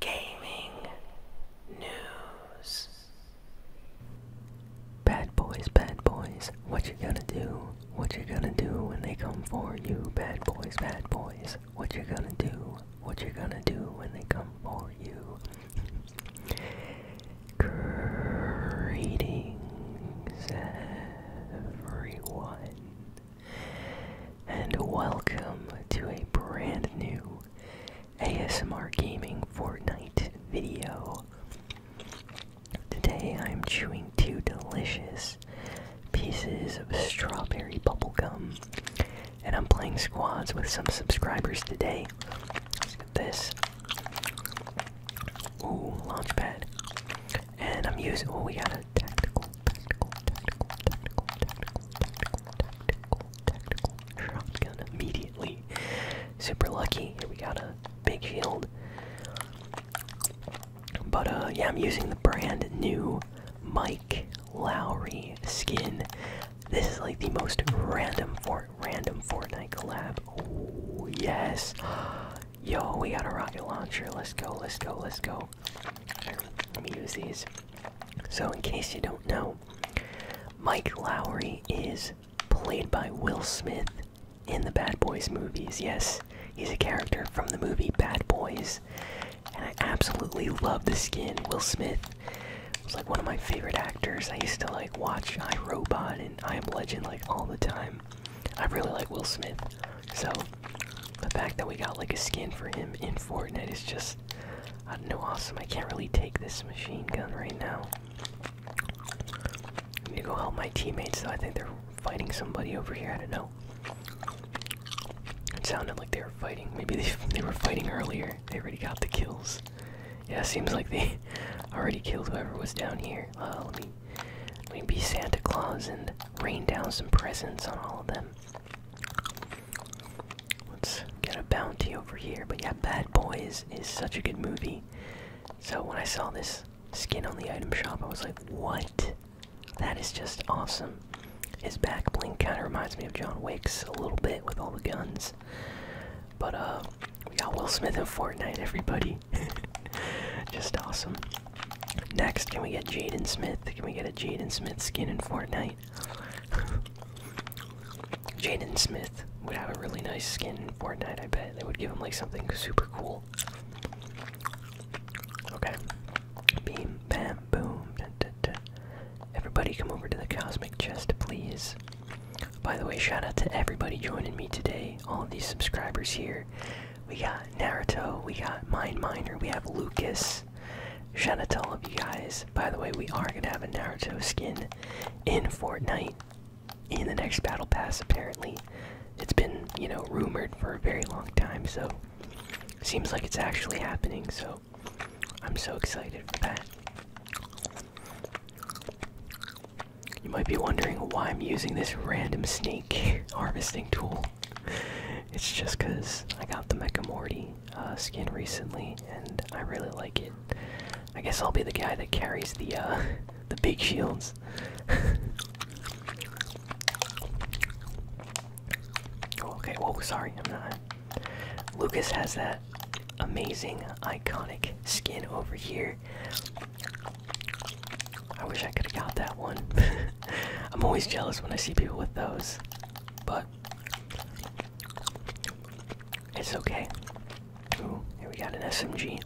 gaming news. Bad boys, bad boys, what you gonna do? What you gonna do when they come for you? Bad boys, bad boys, what you gonna do? What you gonna do when they come for you? Greetings, everyone and welcome to a brand new ASMR Gaming Fortnite video. Today I'm chewing two delicious pieces of strawberry bubblegum, and I'm playing squads with some subscribers today. Let's get this. Ooh, launchpad. And I'm using. Oh, we got a tactical tactical, tactical, immediately. Super lucky. Here we got a big shield. But uh, yeah, I'm using the brand new Mike Lowry skin. This is like the most random for random Fortnite collab. Oh yes. Yo, we got a rocket launcher. Let's go, let's go, let's go so let me use these. So, in case you don't know, Mike Lowry is played by Will Smith in the Bad Boys movies. Yes, he's a character from the movie Bad Boys, and I absolutely love the skin. Will Smith was like one of my favorite actors. I used to like watch I Robot and I Am Legend like all the time. I really like Will Smith, so the fact that we got like a skin for him in Fortnite is just, I don't know, awesome. I can't really take this machine gun right now. I need to go help my teammates though. I think they're fighting somebody over here. I don't know. It sounded like they were fighting. Maybe they, they were fighting earlier. They already got the kills. Yeah, seems like they already killed whoever was down here. Uh, let me, let me be Santa Claus and rain down some presents on all of them. Let's get a bounty over here. But yeah, Bad Boys is such a good movie. So when I saw this skin on the item shop, I was like, what? That is just awesome. His back bling kind of reminds me of John Wick's a little bit with all the guns. But uh, we got Will Smith in Fortnite, everybody. just awesome. Next, can we get Jaden Smith? Can we get a Jaden Smith skin in Fortnite? Jaden Smith would have a really nice skin in Fortnite, I bet. They would give him like something super cool. Okay. Beam, bam, boom. Everybody come over to the cosmic chest, please. By the way, shout out to everybody joining me today. All of these subscribers here. We got Naruto, we got Mind Miner, we have Lucas, Shout out to all of you guys. By the way, we are gonna have a Naruto skin in Fortnite in the next battle pass apparently. It's been, you know, rumored for a very long time, so seems like it's actually happening, so I'm so excited for that. You might be wondering why I'm using this random snake harvesting tool. It's just because I got the Mecha Morty uh, skin recently, and I really like it. I guess I'll be the guy that carries the uh, the big shields. Oh, okay. Whoa, sorry, I'm not. Lucas has that amazing, iconic skin over here. I wish I could have got that one. I'm always jealous when I see people with those, but it's okay. here we got an SMG.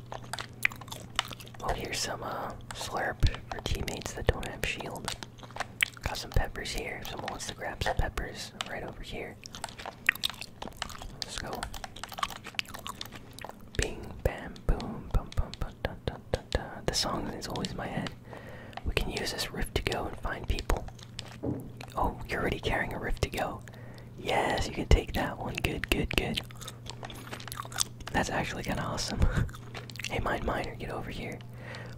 Oh, here's some uh, slurp for teammates that don't have shield. Got some peppers here. If someone wants to grab some peppers, right over here. Let's go. Bing, bam, boom, bum, bum, bum, the song is always in my head. We can use this rift to go and find people. Oh, you're already carrying a rift to go. Yes, you can take that one. Good, good, good. That's actually kind of awesome. hey, Mine Miner, get over here.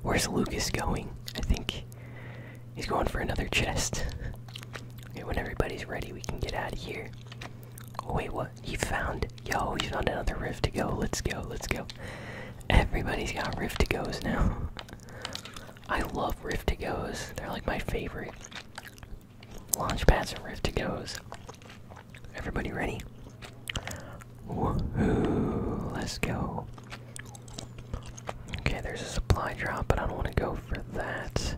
Where's Lucas going? I think he's going for another chest. okay, when everybody's ready, we can get out of here wait, what? He found yo, he found another rift to go. Let's go, let's go. Everybody's got rift to goes now. I love rift to goes. They're like my favorite. Launch pads and rift to goes. Everybody ready? Woohoo! Let's go. Okay, there's a supply drop, but I don't want to go for that.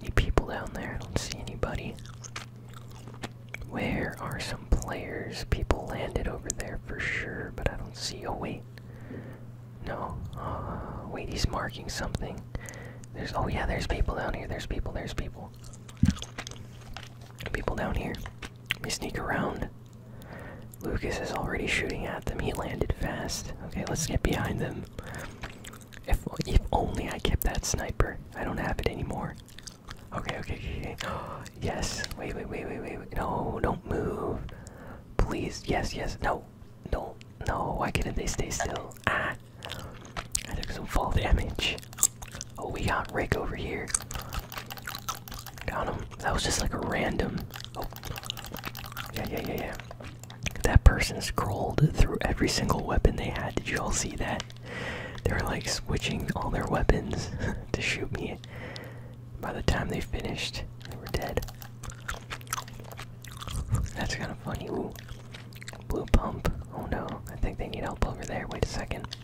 Any people down there? I don't see anybody. Where are some players? People landed over there for sure, but I don't see. Oh, wait. No. Uh, wait, he's marking something. There's. Oh, yeah, there's people down here. There's people. There's people. People down here. We sneak around. Lucas is already shooting at them. He landed fast. Okay, let's get behind them. If, if only I kept that sniper. I don't have it anymore. Okay, okay, okay. yes. Wait, wait, wait, wait, wait, wait. No, don't move. Please. Yes, yes. No. No. No. Why couldn't they stay still? Ah. I took some fall damage. Oh, we got Rick over here. Got him. That was just like a random. Oh. Yeah, yeah, yeah, yeah. That person scrolled through every single weapon they had. Did you all see that? they were like switching all their weapons to shoot me. By the time they finished, they were dead. That's kind of funny. blue pump. Oh no, I think they need help over there. Wait a second.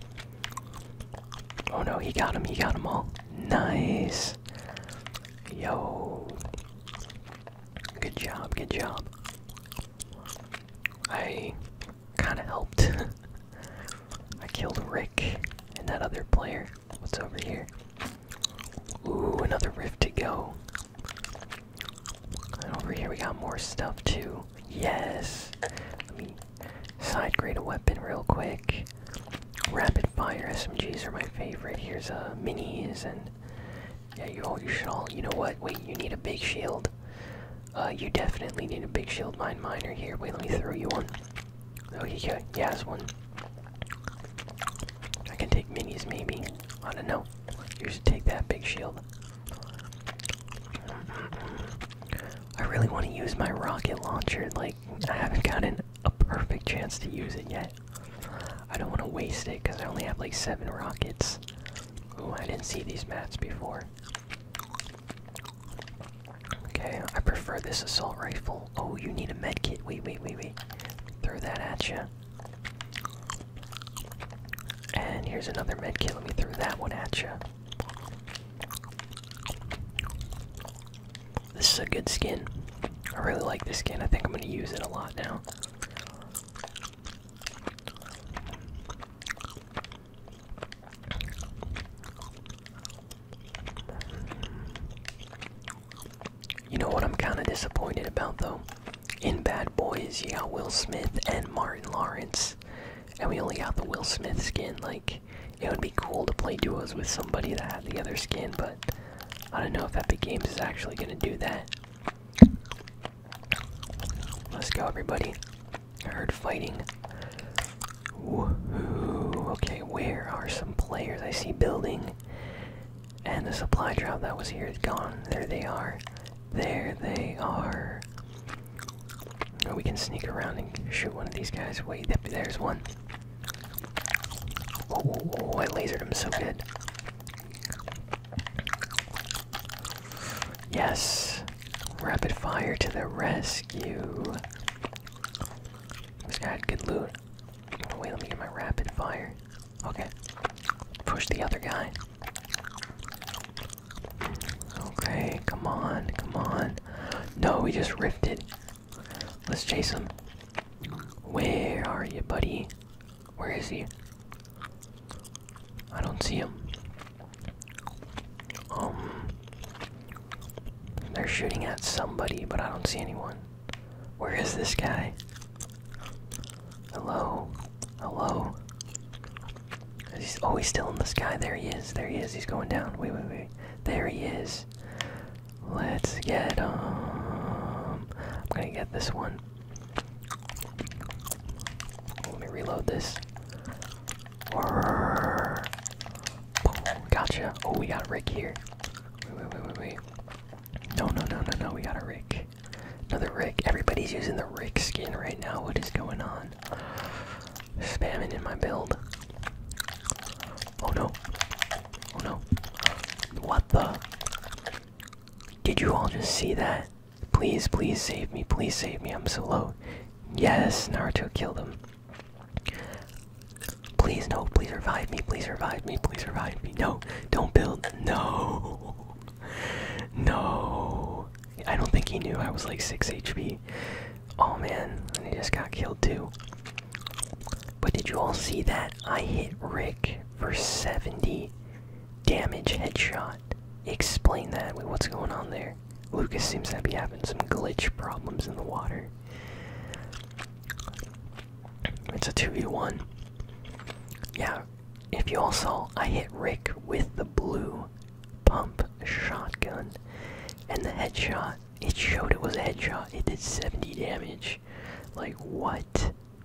Oh no, he got him. He got them all. Nice. Yo. Good job. Good job. I kind of helped. I killed Rick and that other player. What's over here? Ooh, another rift to go. And over here we got more stuff too. Yes! Let me side grade a weapon real quick. Rapid fire SMGs are my favorite. Here's a uh, minis and yeah, you should all. You know what? Wait, you need a big shield. Uh, you definitely need a big shield, mine miner. Here, wait, let me throw you one. Oh, he yeah, he has one. I can take minis, maybe. I don't know. You should take that big shield. I really want to use my rocket launcher. Like, I haven't gotten a perfect chance to use it yet. I don't want to waste it because I only have like seven rockets. Ooh, I didn't see these mats before. Okay, I prefer this assault rifle. Oh, you need a med kit. Wait, wait, wait, wait. Throw that at you. And here's another med kit. Let me throw that one at you. This is a good skin. I really like this skin. I think I'm going to use it a lot now. You know what I'm kind of disappointed about though? In Bad Boys, yeah, Will Smith and Martin Lawrence, and we only got the Will Smith skin. Like, it would be cool to play duos with somebody that had the other skin, but I don't know if Epic Games is actually going to do that. Let's go, everybody. I heard fighting. Okay, where are some players? I see building. And the supply drop that was here is gone. There they are. There they are. Oh, we can sneak around and shoot one of these guys. Wait, there's one. Oh, oh I lasered him so good. Yes! Rapid fire to the rescue! This guy had good loot. Wait, let me get my rapid fire. Okay. Push the other guy. Okay, come on, come on. No, we just rifted. Let's chase him. Where are you, buddy? Where is he? I don't see him. Um. They're shooting at somebody, but I don't see anyone. Where is this guy? Hello? Hello? Oh, he's, always still in the sky. There he is. There he is. He's going down. Wait, wait, wait. There he is. Let's get him. Um, I'm gonna get this one. Let me reload this. gotcha. Oh, we got Rick here. Wait, wait, wait, wait, wait. No, no, no, no, no. We got a Rick. Another Rick. Everybody's using the Rick skin right now. What is going on? Spamming in my build. Oh no. Oh no. What the? Did you all just see that? Please, please save me. Please save me. I'm so low. Yes, Naruto killed him. Please, no. Please revive me. Please revive me. Please revive me. No, don't build. No. No. I don't think he knew I was like 6 HP. Oh man, he just got killed too. But did you all see that? I hit Rick for 70 damage headshot. Explain that. What's going on there? Lucas seems to be having some glitch problems in the water. It's a 2v1. Yeah, if you all saw, I hit Rick with the blue pump shotgun. And the headshot, it showed it was a headshot. It did 70 damage. Like, what?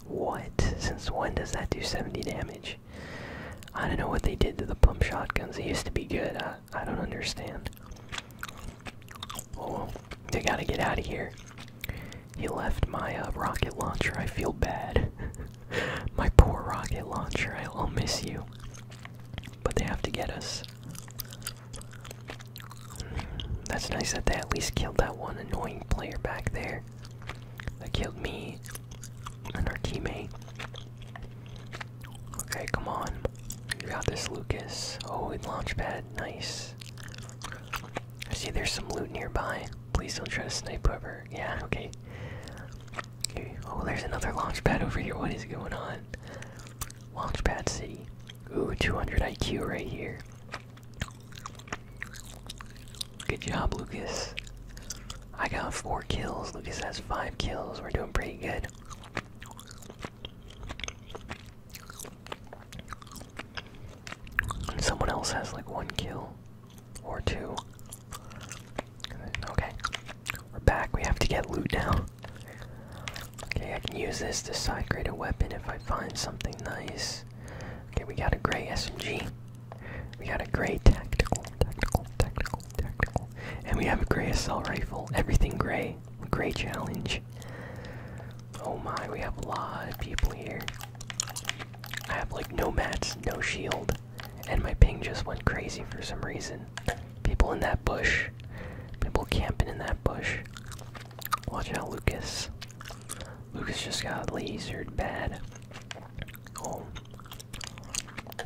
What? Since when does that do 70 damage? I don't know what they did to the pump shotguns. They used to be good. I, don't understand. Oh, they gotta get out of here. He left my uh, rocket launcher. I feel bad. my poor rocket launcher. I'll miss you. But they have to get us. That's nice that they at least killed that one annoying player back there. That killed me and our teammate. Okay, come on. You got this, Lucas. Oh, and launchpad. Nice. see there's some loot nearby. Please don't try to snipe over. Yeah, okay. okay. Oh, there's another launchpad over here. What is going on? Launchpad City. Ooh, 200 IQ right here. Good job, Lucas. I got four kills. Lucas has five kills. We're doing pretty good. someone else has like one kill or two. Okay. We're back. We have to get loot now. Okay, I can use this to side grade a weapon if I find something nice. Okay, we got a gray SMG. We got a gray tactical, tactical, tactical, tactical. And we have a gray assault rifle. Everything gray. Gray challenge. Oh my, we have a lot of people here. I have like no mats, no shield, and my ping just went crazy for some reason. People in that bush. People camping in that bush. Watch out, Lucas. Lucas just got lasered bad. Oh.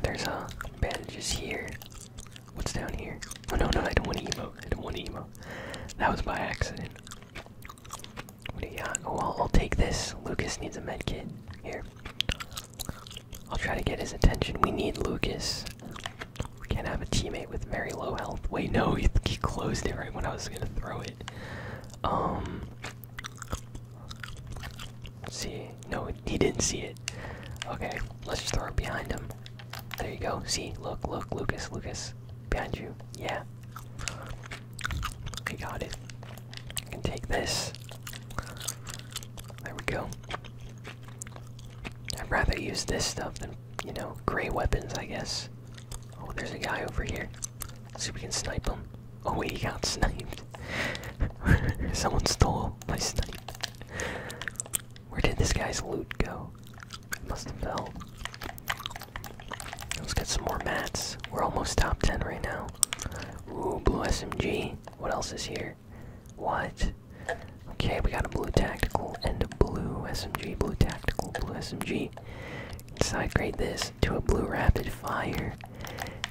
There's uh, bandages here. What's down here? Oh no, no, I don't want to emote. I don't want to That was by accident. What do you Oh, I'll take this. Lucas needs a med kit. Here. I'll try to get his attention. We need Lucas. We can't have a teammate with very low health. Wait, no, he, he closed it right when I was gonna throw it. Um, see, no, he didn't see it. Okay, let's just throw it behind him. There you go. See, look, look, Lucas, Lucas, behind you. Yeah. Okay, got it. I can take this. There we go. I'd rather use this stuff than you know, gray weapons, I guess. Oh, there's a guy over here. see if we can snipe him. Oh wait, he got sniped. Someone stole my snipe. Where did this guy's loot go? must have fell. Let's get some more mats. We're almost top 10 right now. Ooh, blue SMG. What else is here? What? Okay, we got a blue tactical and a blue SMG. Blue tactical, blue SMG. Sidegrade this to a blue rapid fire.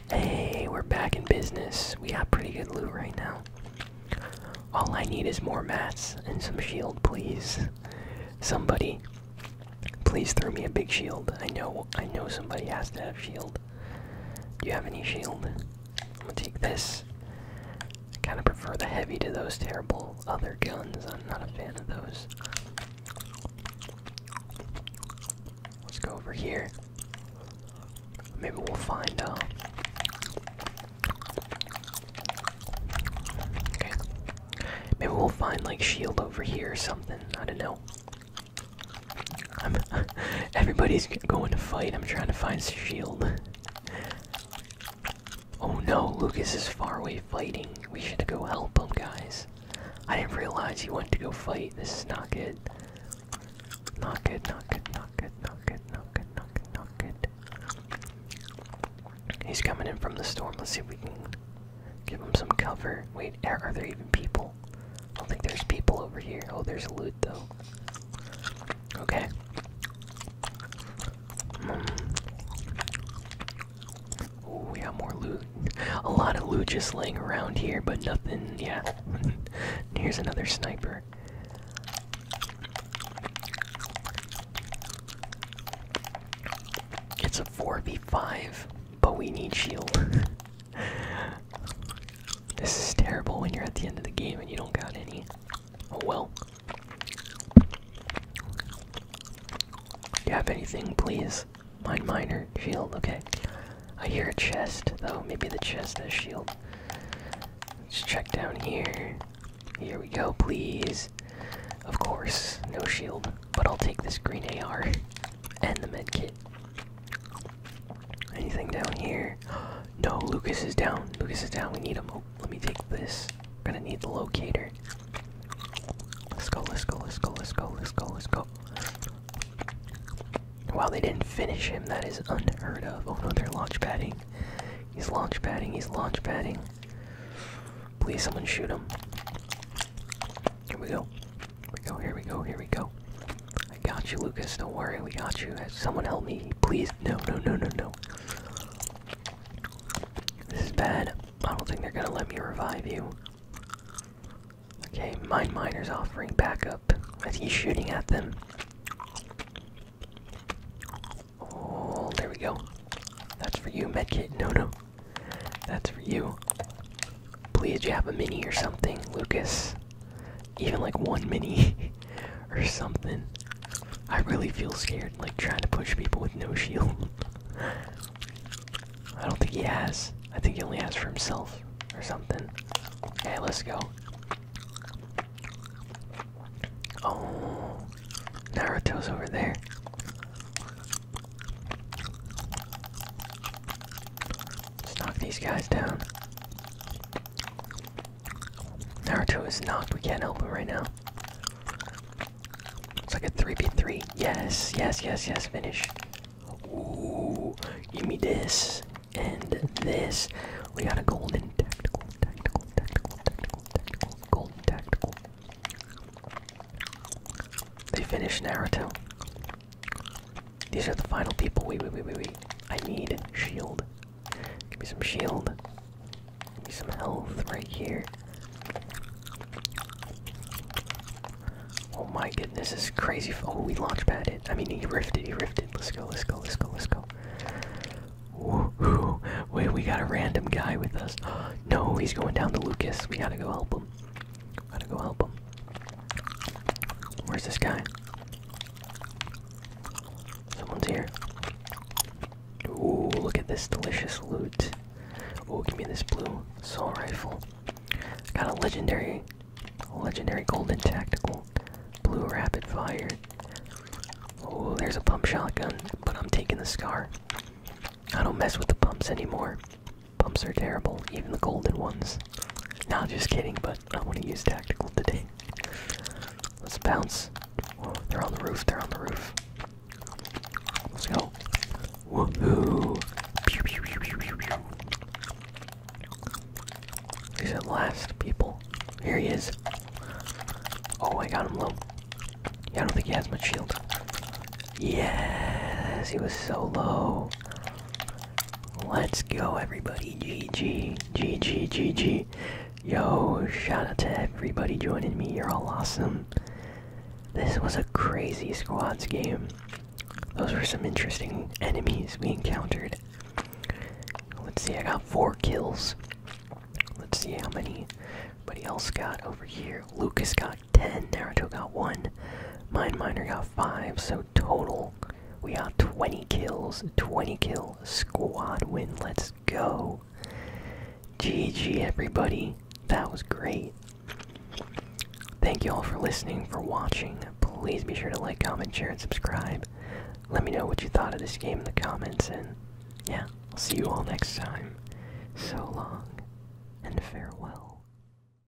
Hey, we're back in business. We got pretty good loot right now. All I need is more mats and some shield, please. Somebody, please throw me a big shield. I know, I know somebody has to have shield. Do you have any shield? I'm gonna take this. I kind of prefer the heavy to those terrible other guns. I'm not a fan of those. Let's go over here. Maybe we'll find out. Uh, okay. Maybe we'll find like shield over here or something. I don't know. I'm, everybody's going to fight. I'm trying to find shield. Oh no, Lucas is far away fighting. We should go help him, guys. I didn't realize he went to go fight. This is not good. Not good, not good, not good, not good, not good, not good, He's coming in from the storm. Let's see if we can give him some cover. Wait, are, there even people? I don't think there's people over here. Oh, there's a loot. Okay. Mm. we got more loot. A lot of loot just laying around here, but nothing. Yeah. Here's another sniper. It's a 4v5, but we need shield. This is terrible when you're at the end of the game and you don't got any. Oh well. Do you have anything, please? Mine minor. Shield, okay. I hear a chest, though. Maybe the chest has shield. Let's check down here. Here we go, please. Of course, no shield. But I'll take this green AR and the medkit. Anything down here? No, Lucas is down. Lucas is down. We need him. Oh, let me take this. We're gonna need the locator. Let's go, let's go, let's go, let's go, let's go, let's go. Wow, they didn't finish him. That is unheard of. Oh no, they're launch padding. He's launch padding, he's launch padding. Please, someone shoot him. Here we go. Here we go, here we go, here we go. I got you, Lucas. Don't worry, we got you. Someone help me, please. No, no, no, no, no. This is bad. I don't think they're gonna let me revive you. Okay, Mind Miner's offering backup as he's shooting at them. Oh, there we go. That's for you, Medkit. No, no. That's for you. Please, you have a mini or something, Lucas even like one mini or something. I really feel scared, like trying to push people with no shield. I don't think he has. I think he only has for himself or something. Hey, let's go. Oh, Naruto's over there. Let's knock these guys down. Naruto is knocked. We can't help him right now. It's like a 3v3. Yes, yes, yes, yes. Finish. Ooh, give me this and this. We got a golden tactical, tactical, tactical, tactical, tactical, golden tactical. They finished Naruto. These are the final people. Wait, wait, wait, wait, wait. I need shield. Give me some shield. Give me some health right here. Oh my goodness, this is crazy. Oh, we launch pad it. I mean, he rifted, he rifted. Let's go, let's go, let's go, let's go. Wait, we got a random guy with us. no, he's going down to Lucas. We gotta go help him. Gotta go help him. Where's this guy? Someone's here. Ooh, look at this delicious loot. Ooh, give me this blue assault rifle. Got a legendary, legendary golden tactical, blue rapid fire. Oh, there's a pump shotgun, but I'm taking the scar. I don't mess with the pumps anymore. Pumps are terrible, even the golden ones. Not just kidding, but I want to use tactical today. Let's bounce. Whoa, they're on the roof, they're on the roof. Let's go. Woohoo! Pew, pew, pew, pew, pew, pew. He's at last, people. Here he is. Oh, I got him low. Yeah, I don't think he has much shield. Yes, he was so low. Let's go, everybody. GG, GG, GG. Yo, shout out to everybody joining me. You're all awesome. This was a crazy squads game. Those were some interesting enemies we encountered. Let's see, I got four kills. Let's see how many anybody else got over here. Lucas got 10, Naruto got 1, Mine Miner got 5, so total we are 20 kills, 20 kills. squad win. Let's go. GG, everybody. That was great. Thank you all for listening, for watching. Please be sure to like, comment, share, and subscribe. Let me know what you thought of this game in the comments, and yeah, I'll see you all next time. So long, and farewell.